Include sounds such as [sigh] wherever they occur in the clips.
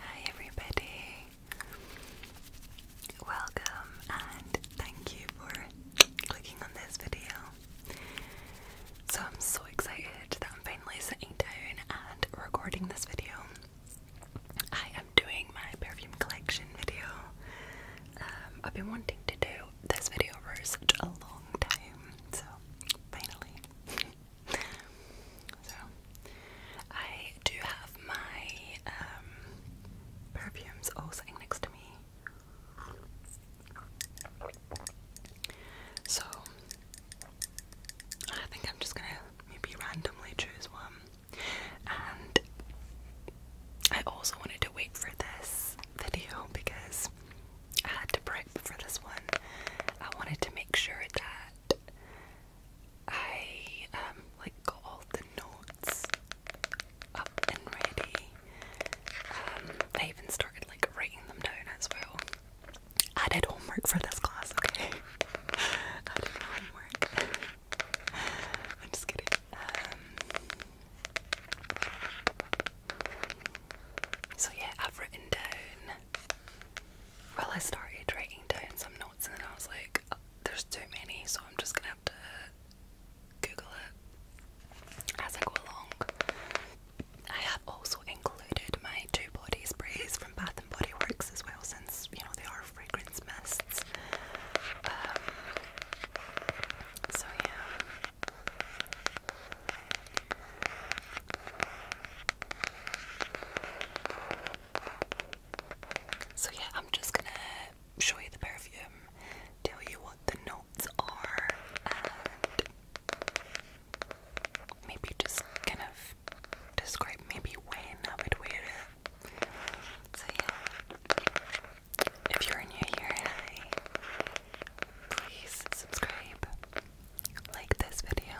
Hi, everybody. Welcome and thank you for clicking on this video. So, I'm so excited that I'm finally sitting down and recording this video. I am doing my perfume collection video. Um, I've been wanting to do this video for such a long time, so finally. [laughs] So, I do have my um, perfumes all sitting next to me. So, I think I'm just gonna maybe randomly choose one. And I also wanted to wait for this video because I had to prep for this one. I wanted to make sure that I um, like got all the notes up and ready. Um, even started like writing them down as well. I did homework for this class, okay? [laughs] I homework. [laughs] I'm just kidding. Um, so yeah, I've written down well, I started writing down some notes and then I was like, there's too many, so I'm just gonna have to Google it as I go along. I have also included my two body sprays from Bath and Body Works as well, since you know they are fragrance mists. Um, so yeah. So, yeah, I'm just gonna show you the perfume, tell you what the notes are, and maybe just kind of describe maybe when I would wear it. So, yeah, if you're new here, please subscribe, like this video,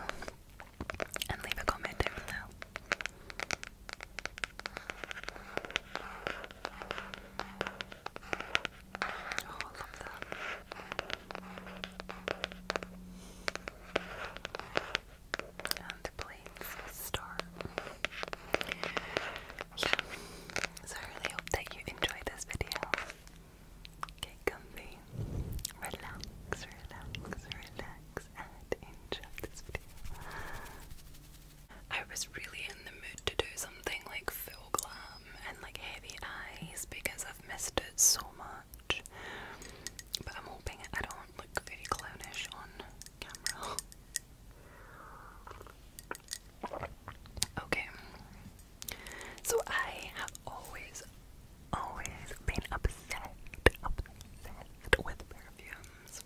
and leave a comment down below. Oh, and please start. Yeah. So I really hope that you enjoyed this video. Get comfy, relax, relax, relax, and enjoy this video. I was really in the mood to do something like full glam and like heavy eyes because I've missed it so much. But I'm hoping I don't look very clownish on camera. [laughs] Okay, so I have always, always been upset, obsessed with perfumes.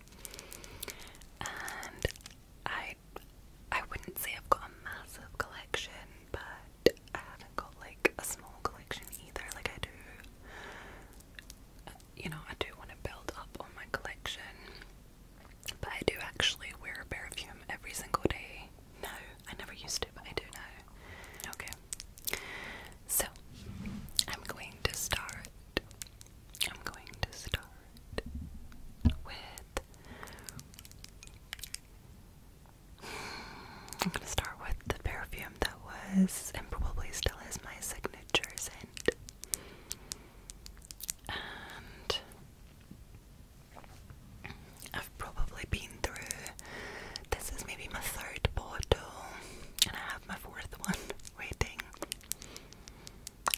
And I I wouldn't say I've got a massive collection, but I haven't got like a small collection either. Like I do, you know, I do want to build up on my collection, but I do actually wear a perfume every single day now. I never used it, but I do now. Okay. So, I'm going to start. I'm going to start with. I'm going to start with the perfume that was and probably still is my signature scent. I've probably been through this is maybe my third bottle and I have my fourth one [laughs] waiting.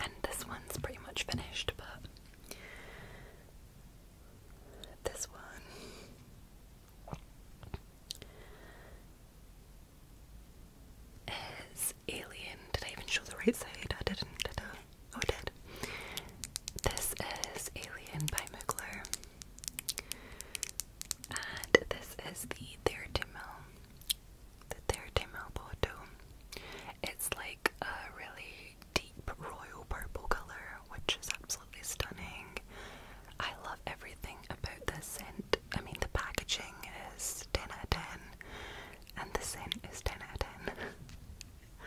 And this one's pretty much finished, but this one is Alien. Did I even show the right side? Oh, did. This is Alien by Mugler. And this is the Theratimel. The Theratimel bottle. It's like a really deep royal purple color, which is absolutely stunning. I love everything about this scent. I mean, the packaging is 10 out 10, and the scent is 10 out 10. [laughs]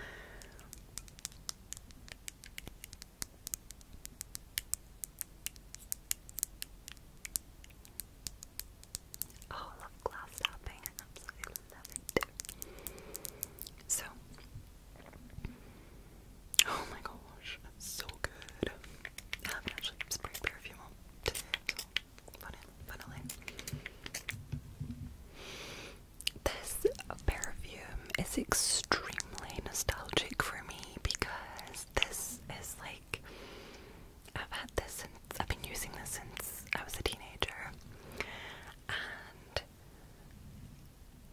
Oh, I love glass tapping. I absolutely love it. So, oh my gosh, so good. I haven't actually sprayed perfume today, so funnily. This perfume is extremely nostalgic for me because this is like I've had this since I've been using this since I was a teenager. And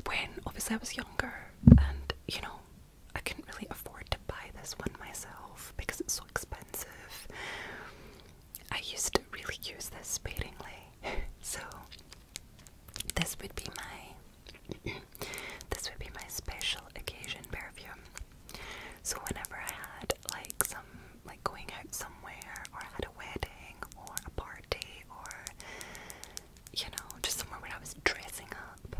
when obviously I was younger and you know, I couldn't really afford to buy this one myself because it's so expensive. I used to really use this sparingly. [laughs] so this would be my [clears throat] this would be my special occasion perfume. So whenever I had like some like going out somewhere or at a wedding or a party or you know, just somewhere where I was dressing up,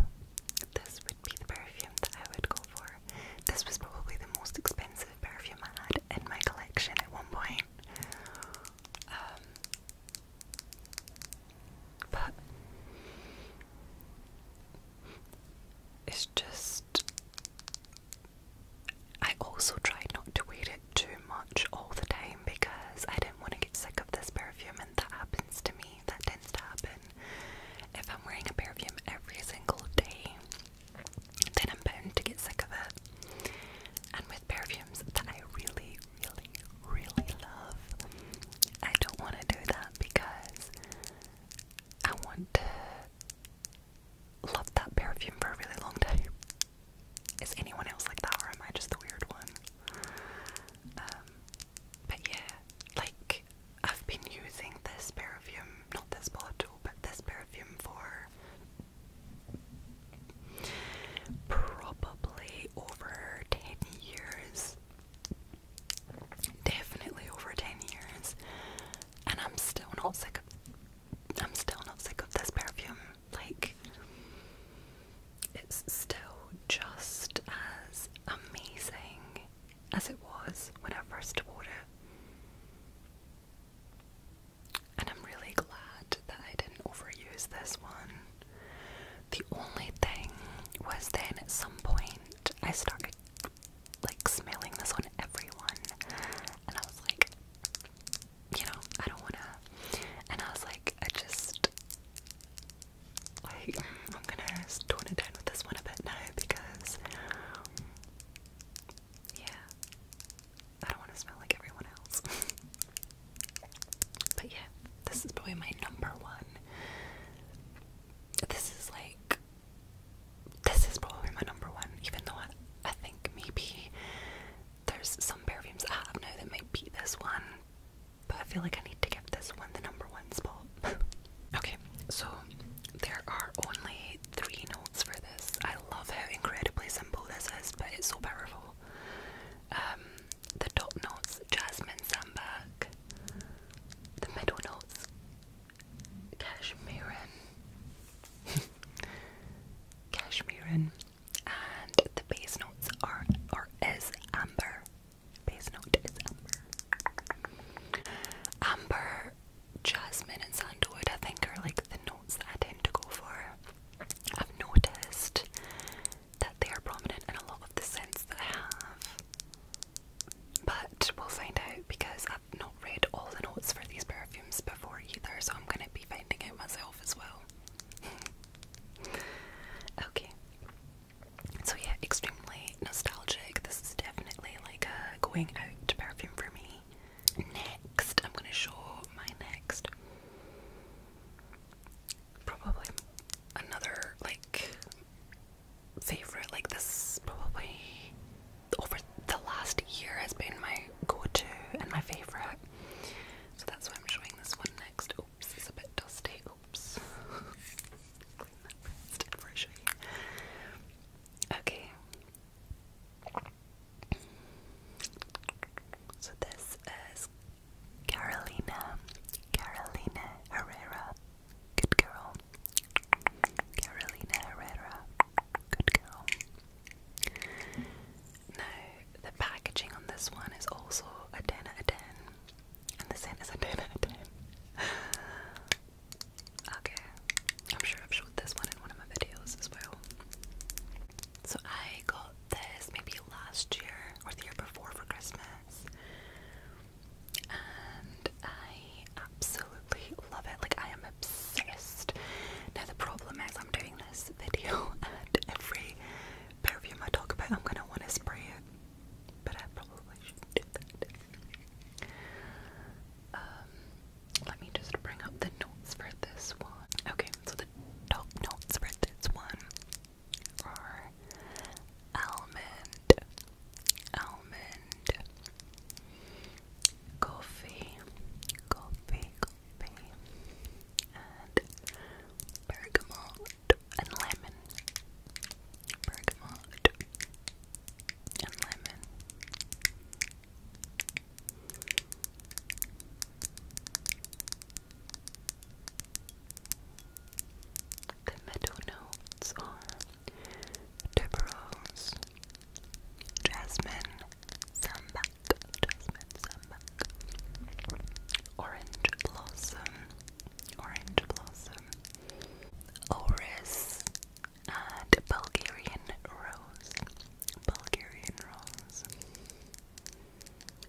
this would be the perfume that I would go for. This was probably the most expensive perfume I had in my collection at one point. Um, but it's just. I also tried not to wear it too much all the time because I didn't want to get sick of this perfume, and that happens to me. That tends to happen. If I'm wearing a perfume every single day, then I'm bound to get sick of it perfumes that I really, really, really love. I don't want to do that because I want to love that perfume for a really long time. Is anyone else like that, or am I just the weird one? Um, but yeah, like I've been using this perfume, not this bottle, but this perfume for Probably over 10 years. Definitely over 10 years. And I'm still not sick of I'm still not sick of this perfume. Like it's still just as amazing as it was when I first bought it. And I'm really glad that I didn't overuse this one. The only thing was then at some point I started like smelling this on everyone, and I was like, you know, I don't wanna. And I was like, I just like I'm gonna tone it down with this one a bit now because yeah, I don't want to smell like everyone else. [laughs] but yeah, this is probably my number one. This is like, this is probably my number one, even though I, I think maybe there's some perfumes I have now that might beat this one, but I feel like I need to get this one the number one spot. [laughs] okay, so there are only three notes for this. I love how incredibly simple this is, but it's so powerful. Um, the top notes, Jasmine Sandberg. The middle notes, Cashmerean. Cashmerean. [laughs] And the base notes are, or is Amber. Base note is Amber. Amber, Jasmine and Sandalwood I think are like the that I tend to go for. I've noticed that they are prominent in a lot of the scents that I have. But we'll find out because I've not read all the notes for these perfumes before either, so I'm going to be finding out myself as well. [laughs] okay. So, yeah, extremely nostalgic. This is definitely like going out perfume for me. Next, I'm going to show my next probably another like favorite like this probably over the last year has been my go-to and my favorite so that's why I'm showing this one next oops it's a bit dusty oops [laughs] okay so this is Carolina, Carolina Herrera, good girl. Carolina Herrera, good girl. Now, the packaging on this one is also a 10 and the scent is a [laughs] 10 okay, I'm sure I've showed this one in one of my videos as well. So I got this maybe last year or the year before for Christmas. And I absolutely love it. Like I am obsessed. Now the problem is I'm doing this video [laughs] and every pair of you, I talk about I'm gonna want to spray it. But I probably should do that. Um, let me just bring up the notes for this one. Okay, the top notes for one almond, almond, coffee, coffee, coffee, and bergamot and lemon, bergamot and lemon. The middle notes jasmine, sambac, jasmine, sambac, orange blossom, orange blossom, orris, and Bulgarian rose, Bulgarian rose.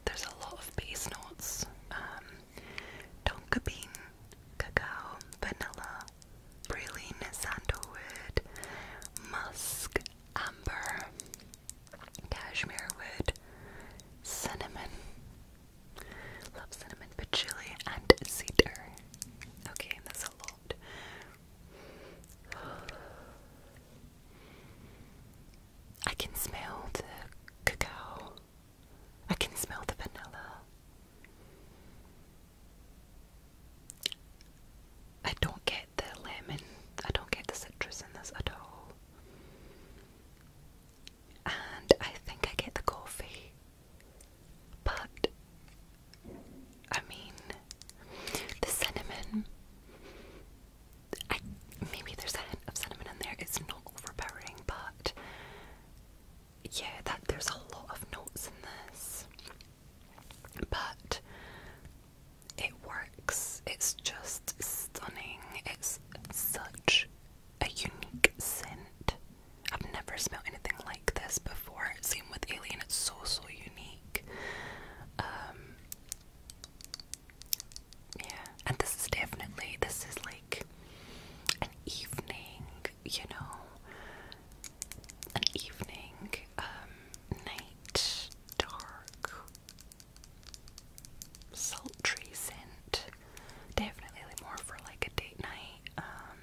There's a lot of base notes um, tonka bean, cacao, vanilla, praline, sandalwood, musk, amber, cashmere wood, cinnamon. Love cinnamon, patchouli, and cedar. Okay, that's a lot. I can smell the cocoa. I can smell the vanilla. I don't get the lemon. I don't get the citrus in this at all. And I think I get the coffee. But, I mean, the cinnamon maybe there's a hint of cinnamon in there. It's not overpowering, but yeah, that there's a lot of notes in this. But it works. It's just stunning. It's such a unique scent. I've never smelled anything like this before. Same with Alien. It's so so unique. Um, yeah, and this is definitely this is like an evening, you know, an evening, um, night, dark, sultry scent. Definitely more for like a date night. Um,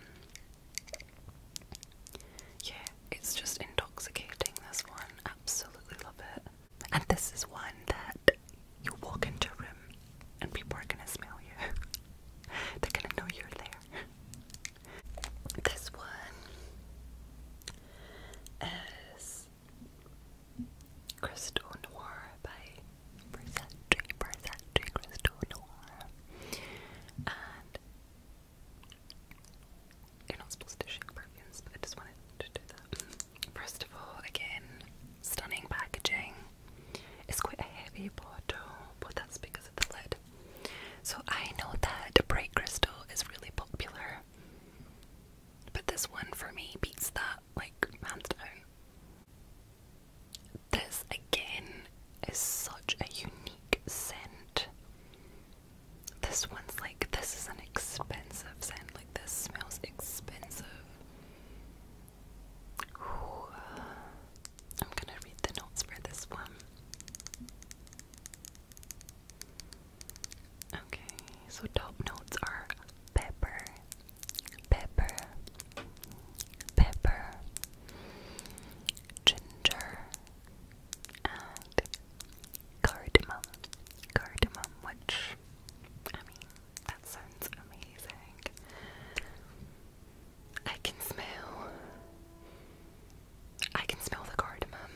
yeah, it's just intoxicating, this one. Absolutely love it. And this is one that you walk into a room and people are gonna smell you. [laughs] They're gonna know you're there. This one is Crystal Noir by Versace, Versace Crystal Noir. And you're not supposed to shake perfumes, but I just wanted to do that. First of all, again, stunning packaging. It's quite a heavy bottle, but that's because of the lid. So I know that bright crystal is really popular, but this one for me beats that like hands down. This again is such a unique scent. This one's like this is an expensive scent. Like this smells expensive. I'm gonna read the notes for this one. Okay, so top notes are pepper, pepper, pepper, ginger, and cardamom, cardamom, which I mean, that sounds amazing. I can smell, I can smell the cardamom.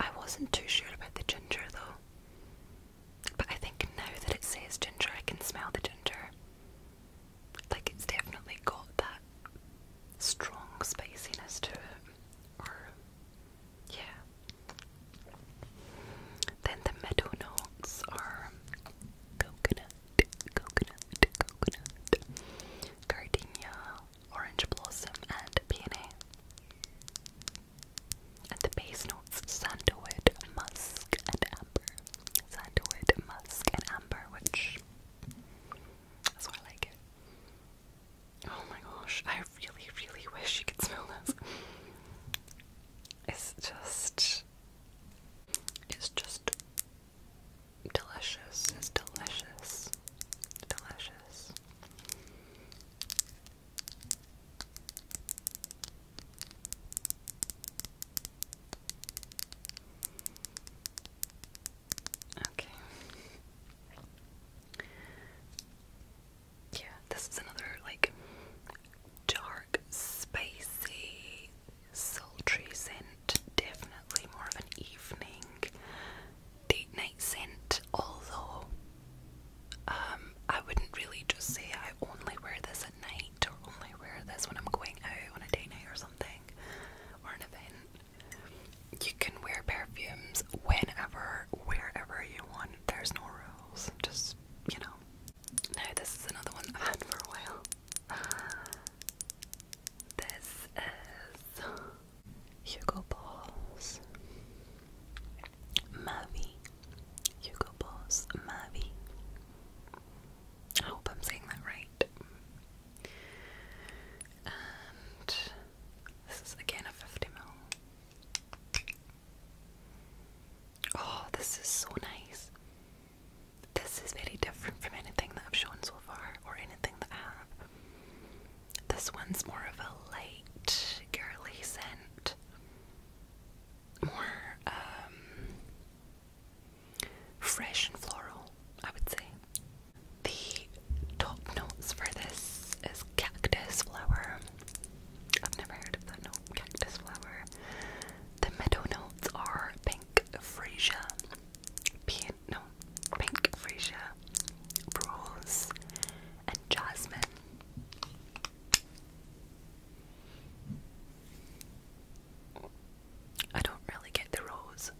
I wasn't too sure about the ginger though, but I think now that it says ginger, I can smell the ginger. Like it's definitely got that strong spiciness to it, or yeah. Then the meadow notes are coconut, coconut, coconut, gardenia, orange blossom, and peony. And the base notes sandalwood, musk, and amber. Sandalwood, musk, and amber, which that's why I like it. Oh my gosh, I really, really wish you could smell this. It's just. It's just delicious. It's delicious. Delicious. Okay. Yeah, this is another like dark, spicy, sultry scent. Definitely more of an evening date night scent, although um, I wouldn't really just say I only wear this at night or only wear this when I'm going out on a date night or something or an event. You can wear perfumes whenever, wherever you want. There's no rules. Just, you know. No, this is another one I've had for a while. [laughs] This is Hugo Balls Mavi. Hugo Balls Mavi. I hope I'm saying that right. This is again a 50 mil. Oh, this is so nice. This is very different from anything that I've shown so far, or anything that I have. This one's more of a light, girly scent. More um, fresh and floral, I would say. The top notes for this is cactus flower. I've never heard of that note, cactus flower. The middle notes are pink freesia, pink, no, pink freesia, rose, and jasmine. I don't really get the rose.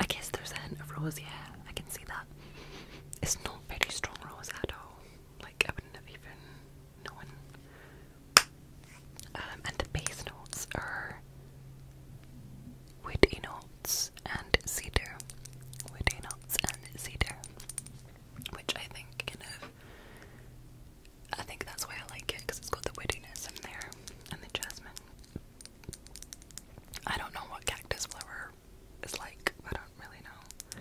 I guess there's a hint of rose, yeah, I can see that. It's not very strong rose at all. Like I wouldn't have even known. Um, and the base notes are woody notes and cedar. Woody notes and cedar. Which I think kind of I think that's why I like it because it's got the woodiness in there and the jasmine. I don't know what cactus flower is like. I don't really know.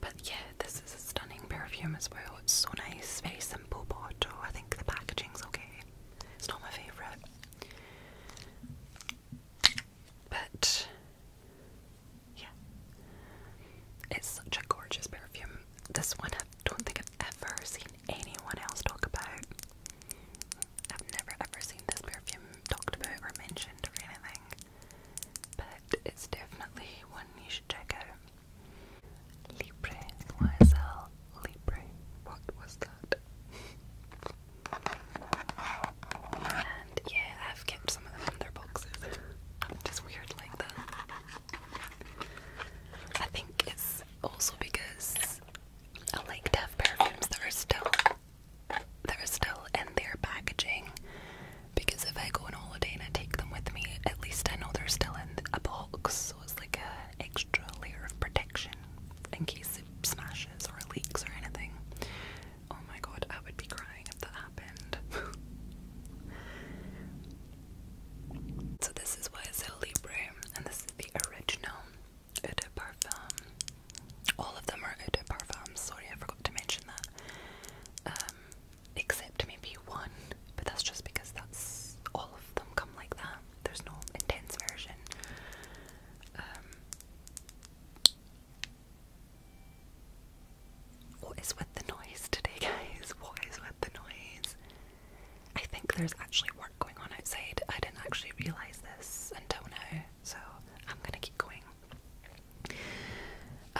But yeah, this is a stunning perfume as well. It's so nice, very simple bottle. I think the packaging's okay. It's not my favourite. But yeah. It's such a gorgeous perfume. This one I don't think I've ever seen anyone else talk about. I've never ever seen this perfume talked about or mentioned or anything, but it's definitely one you should check out. Libre, YSL Libre. What was that? and yeah, I've kept some of them in their boxes. just weird like that. I think it's also because I like to have perfumes that are still that are still in their packaging because if I go on holiday and I take them with me, at least I know they're still in a box, so it's like an extra layer of protection in case it smashes or leaks or anything. Oh my god, I would be crying if that happened. [laughs] so this is what is Libre, and this is the original. Eau Parfum. All of them are Eau Parfum. Sorry, I forgot to mention that. Um, except maybe one, but that's just because that's all of them come like that. There's no intense version. Um, what is with the noise today, [laughs] guys? What is with the noise? I think there's actually work going on outside. I didn't actually realise this until now, so I'm gonna keep going.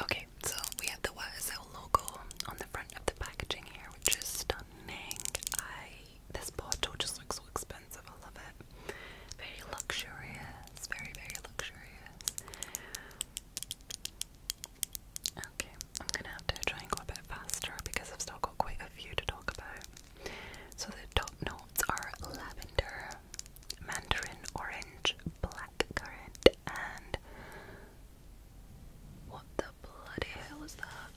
Okay, so we have the YSL logo on the front of the packaging here, which is stunning. I this bottle just looks so expensive. I love it. Very luxurious. Very very luxurious. Okay, I'm gonna have to try and go a bit faster because I've still got quite a few to talk about. So the top notes are lavender, mandarin orange, blackcurrant, and what the bloody hell is that?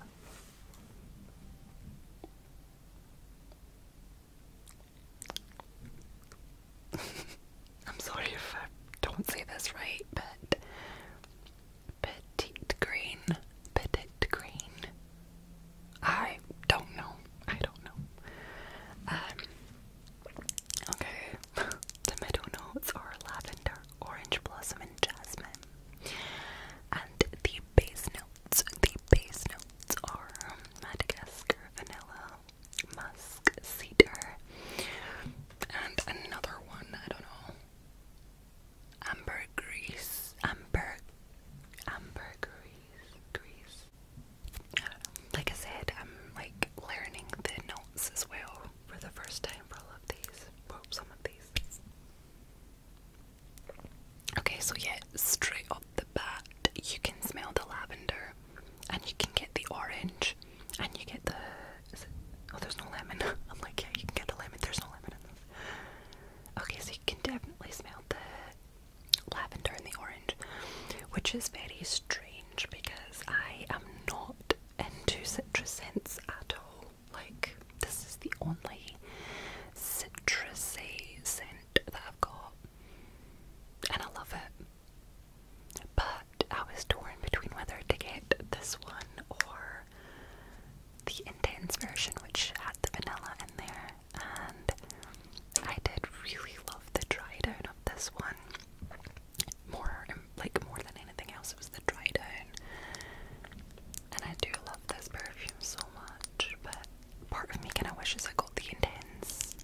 [laughs] I'm sorry if I don't say this right, but Petite green. Petite green. I don't know. I don't know. Um, okay. [laughs] middle notes are lavender, orange blossom, and jasmine. And the base notes, the base notes are Madagascar vanilla, musk, cedar, and another one. I don't know. Amber grease. Amber. Amber grease. Grease. like I said, I'm like learning the notes as well for the first time for all of these. Well, some of these. Okay, so yeah, straight off the bat, you can smell the lavender, and you can get the orange, and you get the. oh, there's no lemon. [laughs] I'm like, yeah, you can get the lemon. There's no lemon in this. Okay, so you can definitely smell the lavender and the orange, which is very strange because I am not into citrus scents at all. Like, this is the only citrusy scent that I've got, and I love it. But I was torn between whether to get this one or the intense version, which had the vanilla in there, and I did really love the dry down of this one. More, like more than anything else, it was the dry down, and I do love this perfume so much. But part of me kind of wishes I got the intense,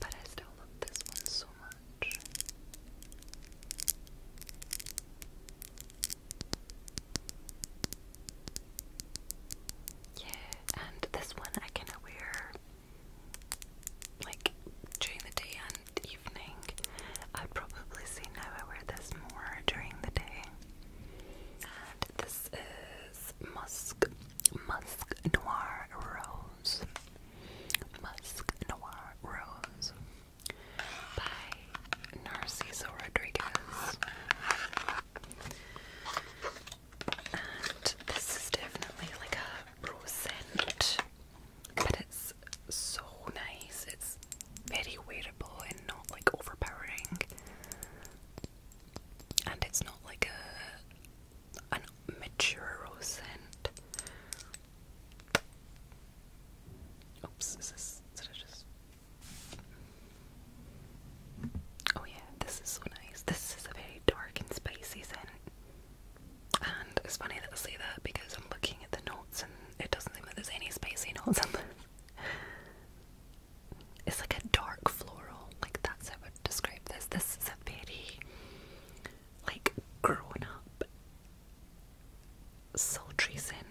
but I still love this one so much. Yeah, and this one I kind wear like during the day and evening. i probably say now I wear this more during the day. And this is Musk Musk Noir Rose. Musk Noir Rose by Narciso Rodriguez. And this is definitely like a rose scent, but it's so nice. It's very wearable and not like overpowering. And it's not like a an mature rose scent. Oops, is this did I just Oh, yeah, this is so nice. This is a very dark and spicy scent. And it's funny that I say that because I'm looking at the notes and it doesn't seem like there's any spicy notes on this. [laughs] It's like a dark floral, like that's how I would describe this. This is a very, like, grown up, sultry scent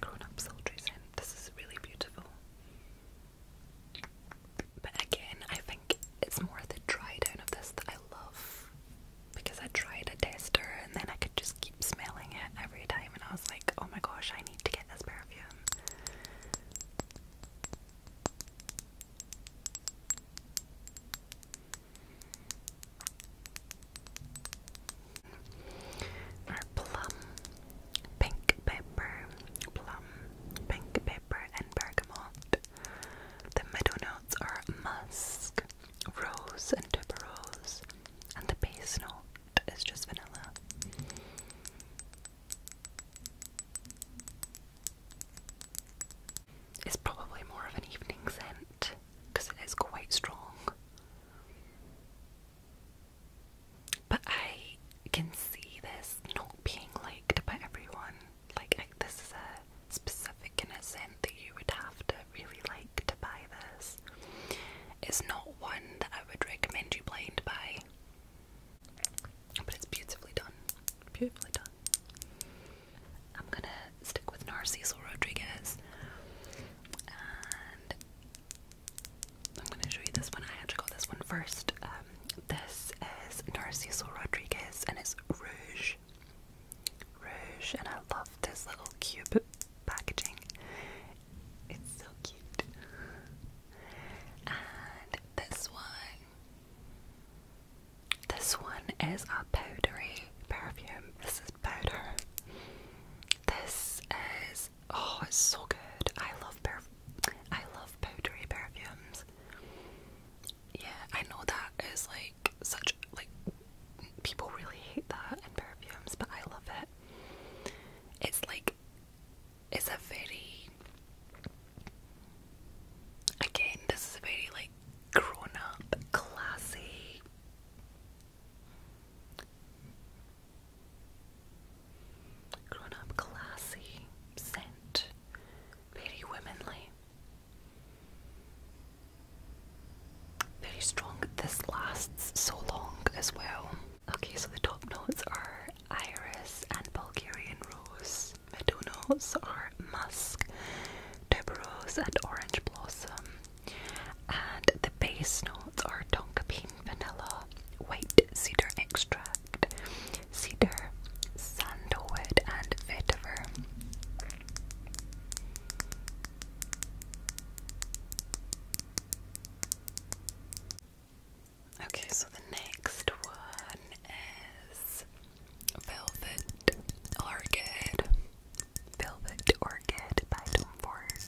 grown up soldiers in. This is really beautiful. But again, I think it's more the dry down of this that I love because I tried a tester and then I could just keep smelling it every time, and I was like, oh my gosh, I need to get this perfume. Our plum, pink pepper, plum, pink pepper, and bergamot. The middle notes are musk, rose, and tuberose, and the base note is just vanilla. It's probably more of an evening scent because it is quite strong. But I can see this not being liked by everyone. Like, this is a specific innocent that you would have to really like to buy this. It's not one that I would recommend you blind buy. But it's beautifully done. Beautifully done. I'm gonna stick with Narciso Rodriguez. I'm going to show you this one. I actually got this one first. Um, this is Narciso Rodriguez and it's Rouge. Rouge, and I love this little cube packaging. It's so cute. And this one. This one is a powdery perfume. This is powder. This is oh, it's so good. I love perf I love powdery perfumes. Yeah, I know that is like such like people really hate that in perfumes, but I love it. It's like it's a very again, this is a very like grown up, classy Grown up, classy, scent, very womanly. Very strong. This lasts so long as well. Okay, so the top notes are iris and Bulgarian rose. Middle notes are musk, tuberose, and orange blossom and the base notes are tonka bean vanilla, white cedar extract, cedar, sandalwood, and vetiver. Okay, so the next one is Velvet Orchid. Velvet Orchid by Tom Ford.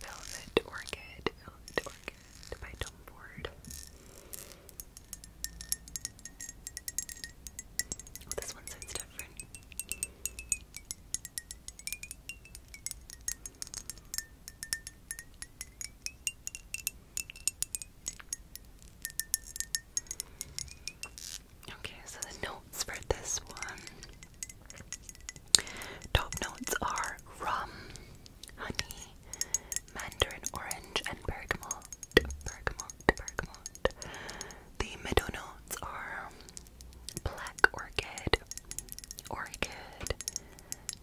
Velvet Orchid, Velvet Orchid by Tom Ford. Oh, this one sounds different. Okay, so the notes for this one top notes are rum, honey, mandarin orange, and bergamot. Bergamot, bergamot. The middle notes are black orchid, orchid,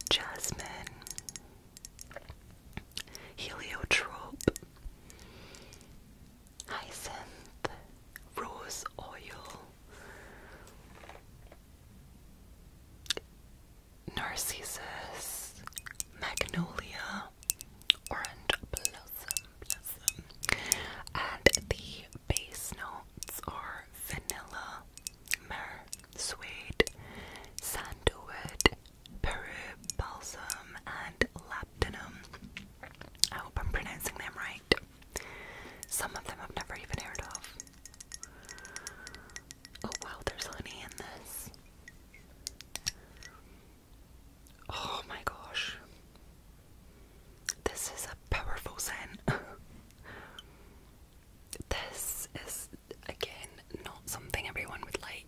jasmine, Heliotrope, Hyacinth, Rose Oil, Narcissus, Magnolia, Orange Blossom, and the base notes are vanilla, myrrh, suede, sandalwood, Peru balsam, and labdanum. I hope I'm pronouncing them right. Some of them I've never even heard of. Oh wow, there's honey in this. Oh my gosh. This is a powerful scent. [laughs] this is, again, not something everyone would like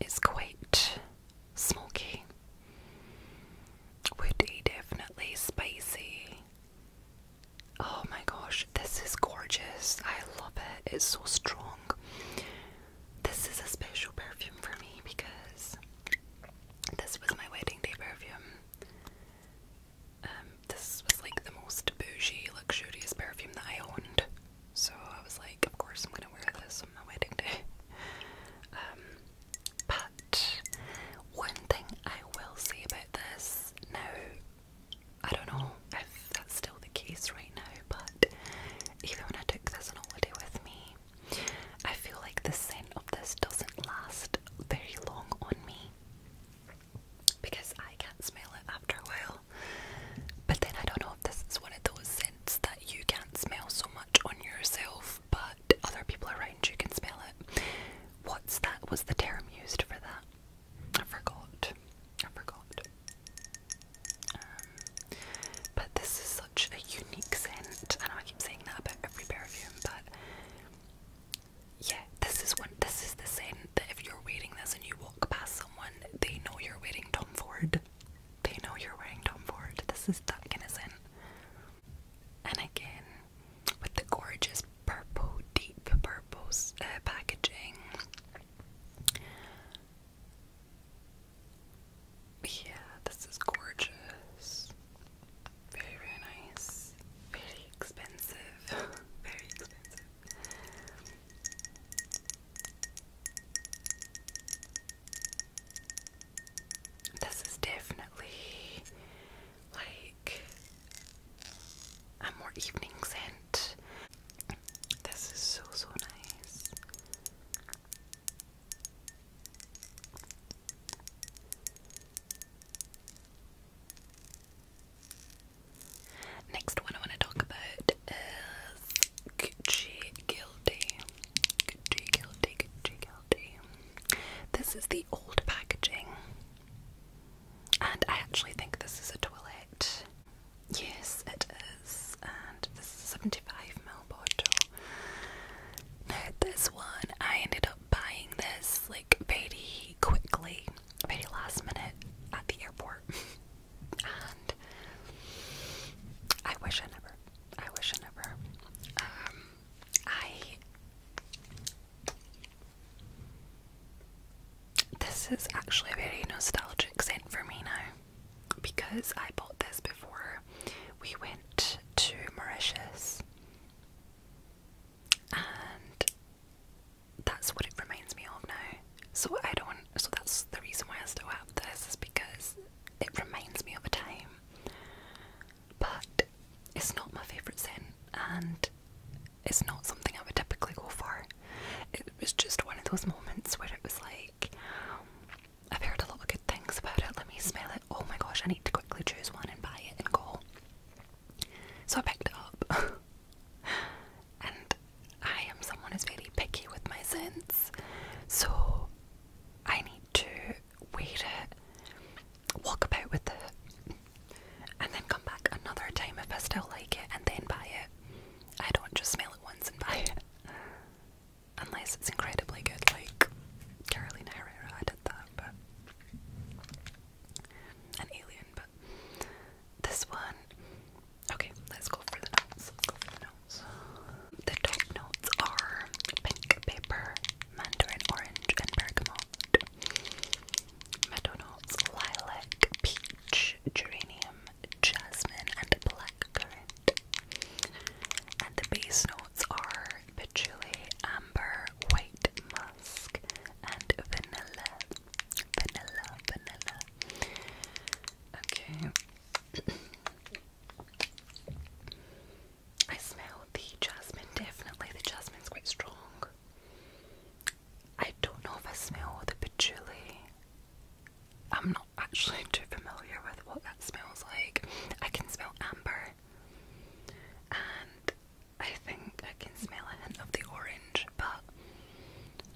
it's quite smoky, woody, definitely spicy. Oh my gosh, this is gorgeous. I love it. It's so strong. This is a special perfume for me because this was my wedding day perfume. Um, this was like the most bougie, luxurious perfume that I owned. So I was like, of course I'm gonna wear this on my wedding day. [laughs] Um, but one thing I will say about this now, I don't know if that's still the case right now, but even when I took this on holiday with me, I feel like the scent of this doesn't last very long on me because I can't smell it after a while. But then I don't know if this is one of those scents that you can't smell so much on yourself, but other people around you can smell it. What's that? Was the term used for that? I forgot. I forgot. Um, but this is such a unique scent. I know I keep saying that about every perfume, but yeah, this is one. This is the scent that if you're wearing this and you walk past they know you're waiting Tom Ford. They know you're wearing Tom Ford. This is that innocent. And again, with the gorgeous purple, deep purples uh, packaging. Yeah, this is gorgeous. Very, very nice. Very expensive. [laughs] very expensive. This is definitely like a more evening scent. This is so, so nice. Next one I want to talk about is Gucci Guilty. Gucci Guilty, Gucci Guilty. This is the old packaging. And I actually think this is a toilet. Yes, it is. And this is a 75ml bottle. Now, this one, I ended up buying this like very quickly, very last minute at the airport. [laughs] I wish I never. I wish I never. Um, I. This is actually a very nostalgic scent for me now because I bought this before we went to Mauritius. And that's what it reminds me of now. So I don't. So that's the reason why I still have this is because it reminds me of a time. But it's not my favorite scent, and it's not something I would typically go for. It was just one of those moments where it was like, I've heard a lot of good things about it. Let me smell it. Oh my gosh, I need to quickly choose one and buy it and go. So I picked it up. [laughs] And I am someone who's very picky with my scents, so I need to wear it, walk about with it, and then come back another time if I still like it and then buy it. I don't just smell it once and buy it. Unless it's incredibly good, like Carolina Herrera, I did that, but. An alien, but. This one, Okay, let's go for the notes. Let's go for the notes. The top notes are pink paper, mandarin orange, and bergamot. Meadow notes, lilac, peach, geranium, jasmine, and blackcurrant. And the base notes are patchouli, amber, white musk, and vanilla. Vanilla, vanilla, Okay. I smell the jasmine, definitely. The jasmine's quite strong. I don't know if I smell the patchouli. I'm not actually [laughs] too familiar with what that smells like. I can smell amber, and I think I can smell a hint of the orange, but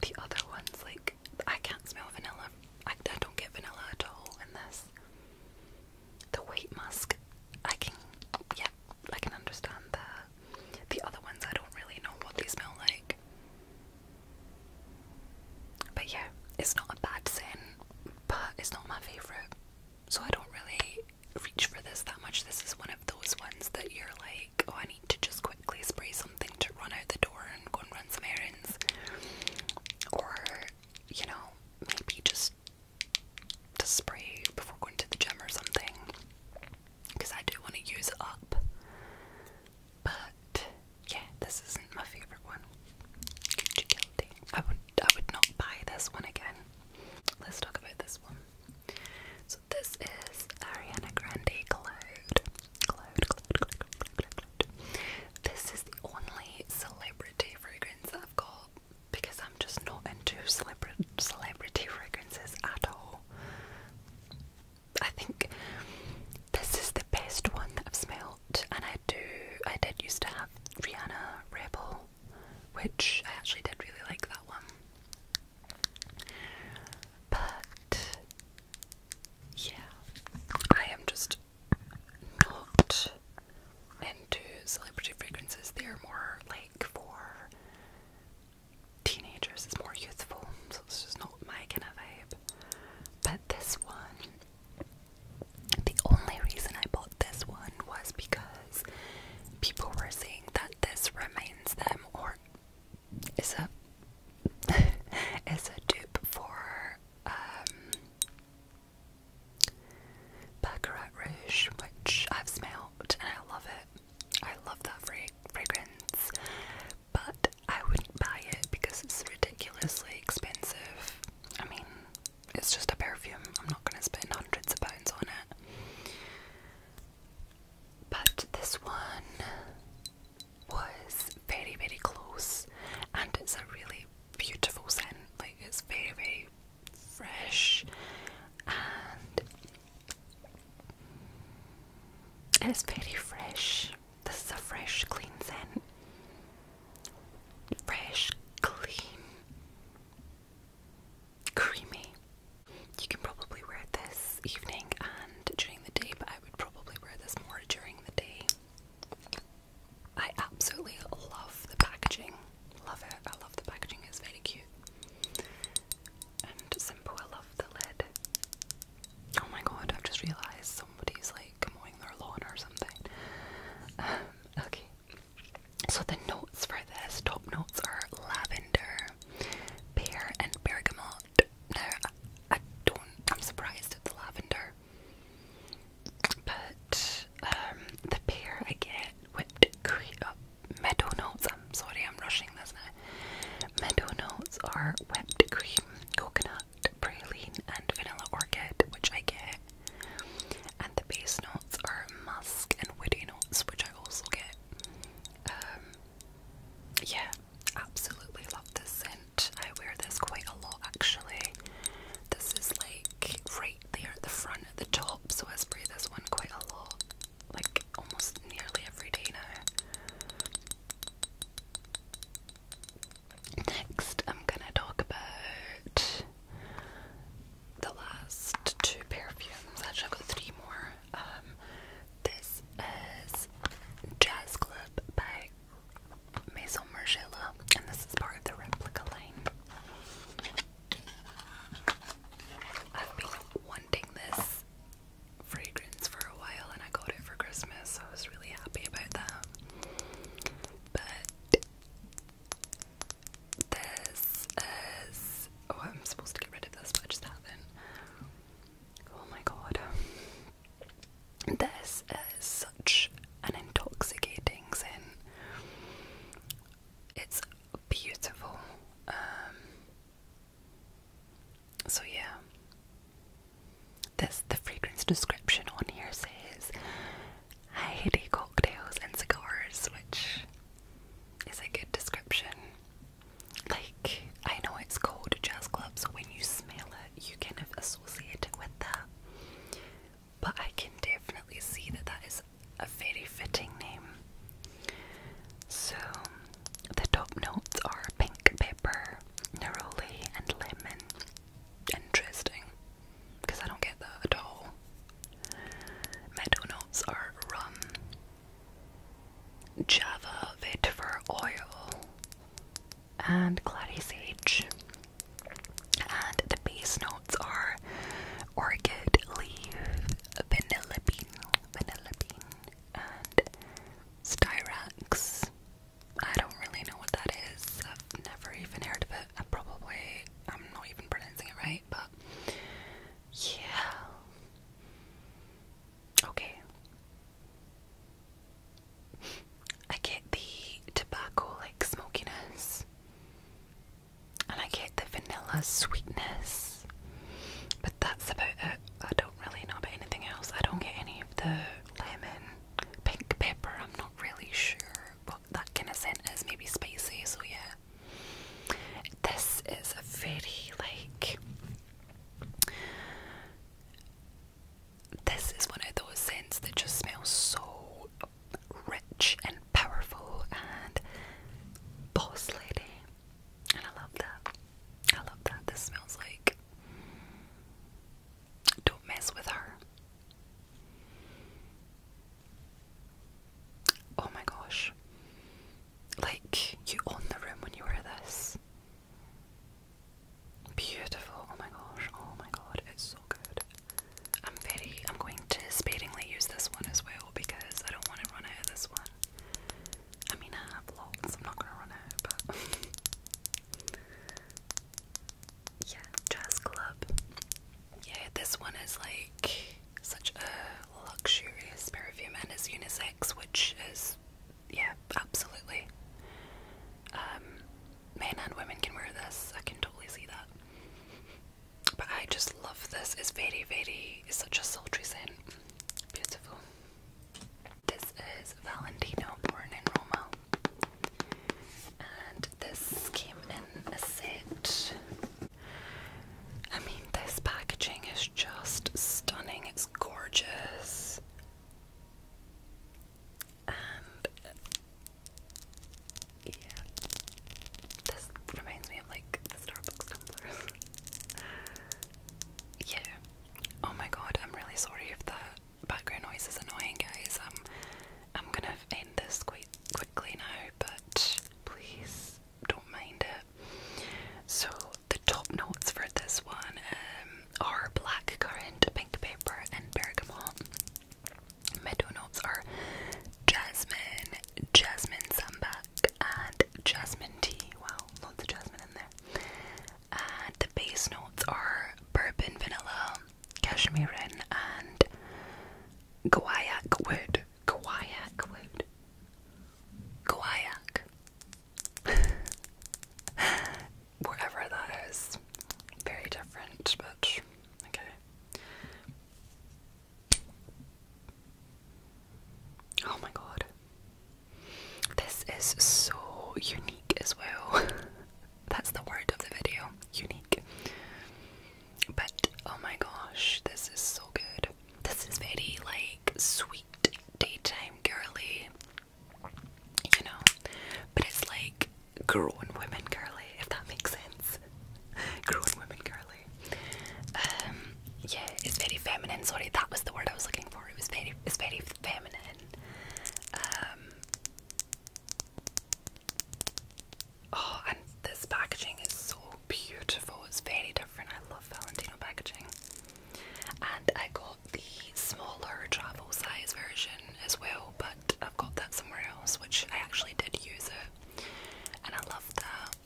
the other ones, like, I can't smell vanilla. I, don't get vanilla at all in this. The weight musk, I can, yeah, I can understand that. The other ones, I don't really know what they smell like. But yeah, it's not a bad scent, but it's not my favourite. So I don't really reach for this that much. This is one of those ones that you're like, oh, I I to just quickly spray something to run out the door and go and run some errands. Or, you know, maybe just to spray before going to the gym or something. Because I do want to use up. But yeah, this isn't my favourite one. I would I would not buy this one again. Let's talk about this one. So this is Ariana Grande Cloud. Cloud, Cloud, Cloud, Cloud, Cloud, Cloud. This is the only celebrity fragrance that I've got because I'm just not into celebra celebrity fragrances at all. I think this is the best one that I've smelled, and I do. I did used to have Rihanna Rebel, which I actually did really like that one. But yeah, I am just not into celebrity fragrances. They're more like for teenagers, it's more youthful, so it's just not my kind of vibe. But this one, the only reason I bought this one was because people were saying that this reminds them or is a [laughs] is a dupe for um, which I've smelled and I love it. I love that frag fragrance, but I wouldn't buy it because it's ridiculously expensive. I mean, it's just a perfume. I'm not gonna spend hundreds of pounds on it. But this one was very, very close, and it's a really beautiful scent. Like, it's very, very fresh, and it's very fresh. This is a fresh, clean scent. Fresh, clean, creamy. You can probably wear this evening and during the day, but I would probably wear this more during the day. I absolutely love the packaging. Love it. I love the packaging, it's very cute. And simple, I love the lid. Oh my god, I've just realised somebody's like mowing their lawn or something. Um, okay. So the notes for this, top notes are lavender, pear and bergamot. No, I, don't. I'm surprised it's lavender. But um, the pear I get whipped cream, uh, meadow notes. I'm sorry, I'm rushing this now. Meadow notes are whipped cream, coconut, praline, and vanilla orchid, which I get. And the base notes are musk and woody notes, which I also get. Um, yeah, absolutely love this scent. I wear this quite a lot actually. This is like right there at the front at the top, so I spray this one quite a lot, like almost nearly every day now. Next, I'm gonna talk about the last two perfumes. Actually, I've got three more. Um, this is Jazz Club by Maison Margiela, and this is part of the replica line. I've been wanting this fragrance for a while, and I got it for Christmas, so I was really happy about that. But this is oh, I'm supposed to get rid of this, but I just haven't. Oh my god. This is such an intoxicating sin. It's beautiful. Um, so yeah. This the fragrance description on here says heady cocktails and cigars, which is a good description like I know it's called jazz club, so when you smell it, you can associate it with that. But I can definitely see that that is a very fitting name. So the top notes are pink pepper, neroli, and lemon. Interesting, because I don't get that at all. Middle notes are rum, Java Vit oil, and Clatty Sage. And the base notes are orchid leaf, vanilla bean, vanilla bean, and styrax. I don't really know what that is. I've never even heard of it. I probably I'm not even pronouncing it right, but yeah. Okay. I get the tobacco like smokiness and I get the vanilla sweetness, but that's about it. I don't really know about anything else. I don't get any of the lemon, pink pepper. I'm not really sure what that kind of scent is. Maybe spicy, so yeah. This is a very like this is one of those scents that just smells so rich and powerful and boss lady. And I love that. I love that. This smells like don't mess with her. Oh my gosh. Like, you own the room when you wear this. Beautiful. Oh my gosh. Oh my god. It's so good. I'm very, I'm going to sparingly use this one as well because I don't want to run out of this one. I mean, I have lots. I'm not going to run out, but. [laughs] yeah, Jazz Club. Yeah, this one is like such a luxurious perfume and it's unisex, which is, yeah, absolutely. Um, men and women can wear this. I can totally see that. But I just love this. It's very, very, it's such a sultry scent. Beautiful. This is Valentino Born in Roma. And this came in a set. I mean, this packaging is just stunning, it's gorgeous. And yeah, this reminds me of like the Starbucks tumblers. [laughs] yeah. Oh my god, I'm really sorry if that background noise is annoying, guys. Um, I'm gonna end this quite quickly now, but please don't mind it. So the top notes for this one um, are black currant, pink pepper, and bergamot. Middle notes are jasmine, jasmine sambac, and jasmine tea. Wow, lots of jasmine in there. And the base notes are bourbon, vanilla, cashmere, and guaiac wood. Kayak word. Kayak. that is. Very different, but okay. Oh my god. This is so unique as well. [laughs] That's the word of the video. Unique. But oh my gosh, this is so good. This is very like sweet daytime girly, you know, but it's like grown women girly, if that makes sense. grown women girly. Um, yeah, it's very feminine. Sorry, that was the word I was looking for. It was very, it's very feminine. Um, oh, and this packaging is so beautiful. It's very different. I love Valentino packaging. And I got the smaller travel size version as well, but I've got that somewhere else, which I actually did use it. And I love that.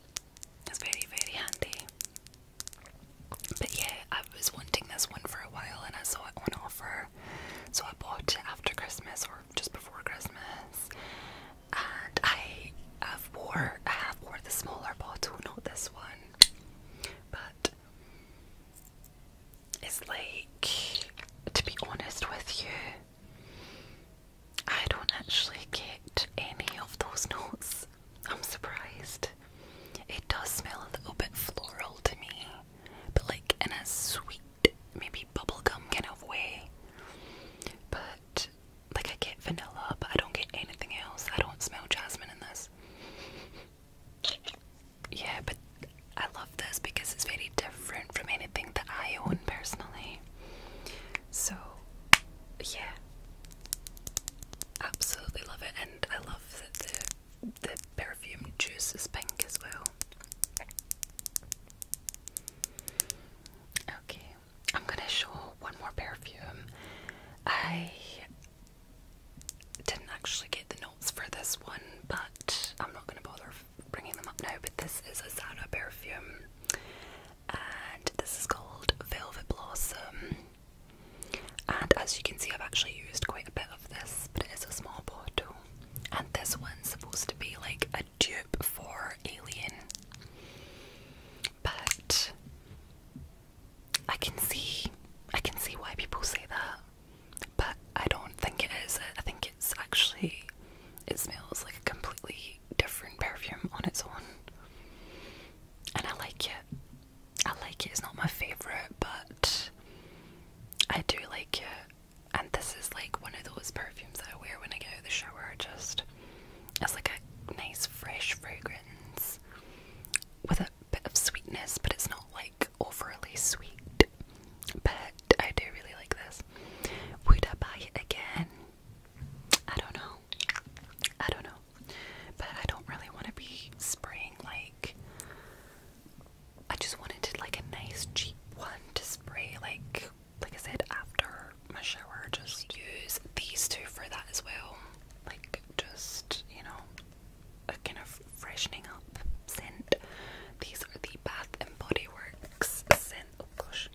It's very, very handy. But yeah, I was wanting this one for a while and I saw it on offer. So I bought it after Christmas or just before Christmas. And I I've wore I have wore the smaller bottle, not this one. But it's like to be honest with you, I don't actually get any of those notes. I'm surprised. It does smell a little bit floral to me, but like in a sweet, maybe bubblegum kind of way. But like I get vanilla, but I don't get anything else. I don't smell jasmine in this. Yeah, but I love this because it's very different from anything that I own personally. So, yeah, absolutely love it, and I love that the the perfume juice is pink as well. Okay, I'm gonna show one more perfume. I didn't actually get the notes for this one, but I'm not gonna bother bringing them up now. But this is a Zara perfume, and this is called Velvet Blossom. And as you can see, I've actually used quite a bit of this, but it is a small bottle. And this one's supposed to be like a dupe for Alien. But I can see I can see why people say that, but I don't think it is. I think it's actually it smells like a completely different perfume on its own. And I like it. I like it. It's not my favorite, but I do like it. And this is like one of those perfumes that I wear when I get out of the shower. Just it's like a nice fresh fragrance with a bit of sweetness, but it's not like overly sweet. But I do really like this. Would I buy it again? I don't know. I don't know. But I don't really want to be spraying like I just wanted like a nice cheap one to spray like like I said after my shower, just use these two for that as well. Like, just, you know, a kind of freshening up scent. These are the Bath and Body Works scent. Oh gosh.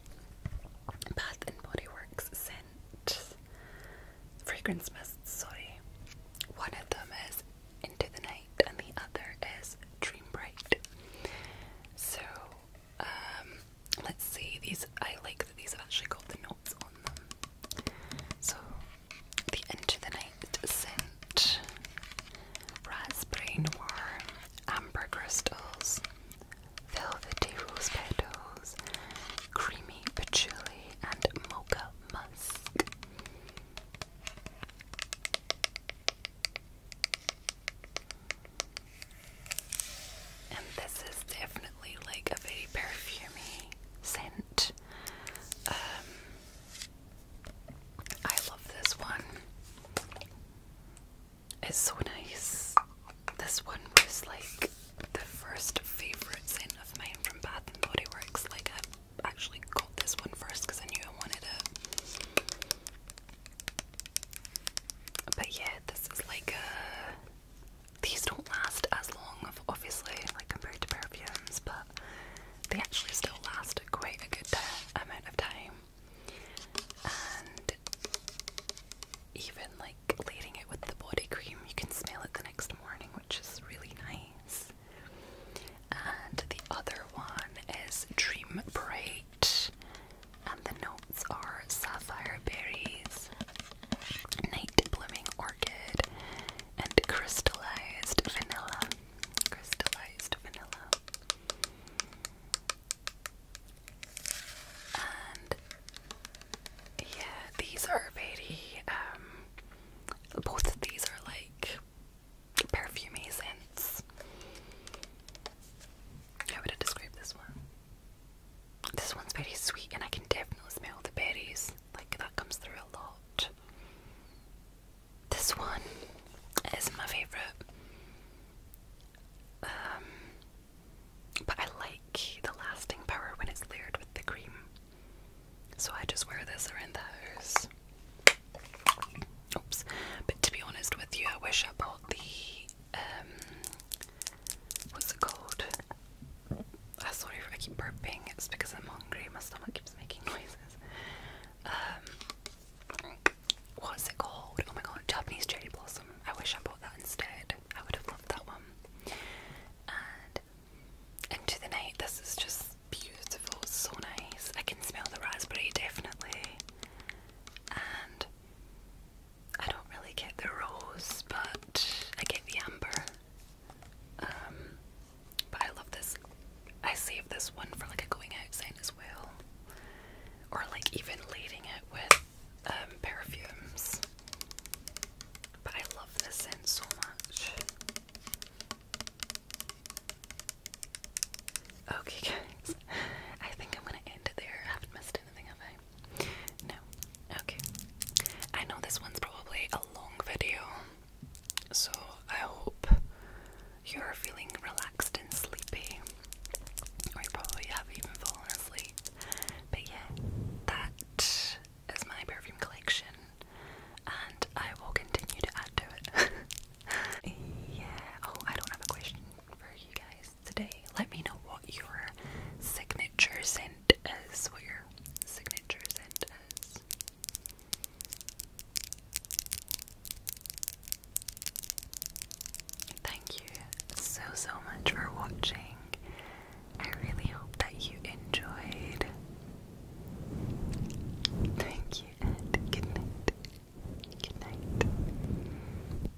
Bath and Body Works scent. Fragrance mist. sorry. One of them is Into the Night and the other is Dream Bright. So, um, let's see, these I like that these have actually got the notes on them. So the end of the Night scent, raspberry noir, amber crystals, velvety rose petals, creamy patchouli, and mocha musk. And this is definitely like a very perfumy scent. Um, I love this one. It's so nice. This one was like the first favourite scent of mine from Bath and Body Works. Like I actually got this one first because I knew I wanted it. But yeah, this is like a these don't last as long, obviously, like compared to perfumes, but they actually still last quite a good amount of time. And even like leaving it with the body cream, you can smell it the next morning, which is really nice. And the other one is Dream Bright and the notes are sapphire berries, night blooming orchid, and crystallized vanilla. Crystallized vanilla. And yeah, these are very, um, both of these are like perfumey scents. How would I describe this one? This one's very sweet, and I can definitely smell the berries. Like, that comes through a lot. This one is my favourite. Um, but I like the lasting power when it's layered with the cream. So I just wear this around the house. Oops. But to be honest with you, I wish I bought the um, what's it called? I ah, sorry I keep burping, it's because I'm hungry, my stomach keeps making noises. Um, what's it called? Oh my god, Japanese cherry blossom. I wish I bought that instead. I would have loved that one. And into the night, this is just beautiful, so nice. I can smell the raspberry definitely. And I don't really get the rose, but I get the amber. Um, but I love this. I saved this one for like a going out sign as well, or like even leading it with um, perfumes. But I love this scent so much. Okay, [laughs] guys, I think I'm gonna end there. haven't missed anything, have I? No. Okay. I know this one's probably a long video, so I hope you're feeling relaxed and sleepy. Or you probably have even fallen asleep. But yeah, that is my perfume collection, and I will continue to add to it. [laughs] yeah. Oh, I don't have a question for you guys today. Let me know what your signature scent is. What your signature scent is. Thank you so so much for watching. I really hope that you enjoyed. Thank you and good night. Good night.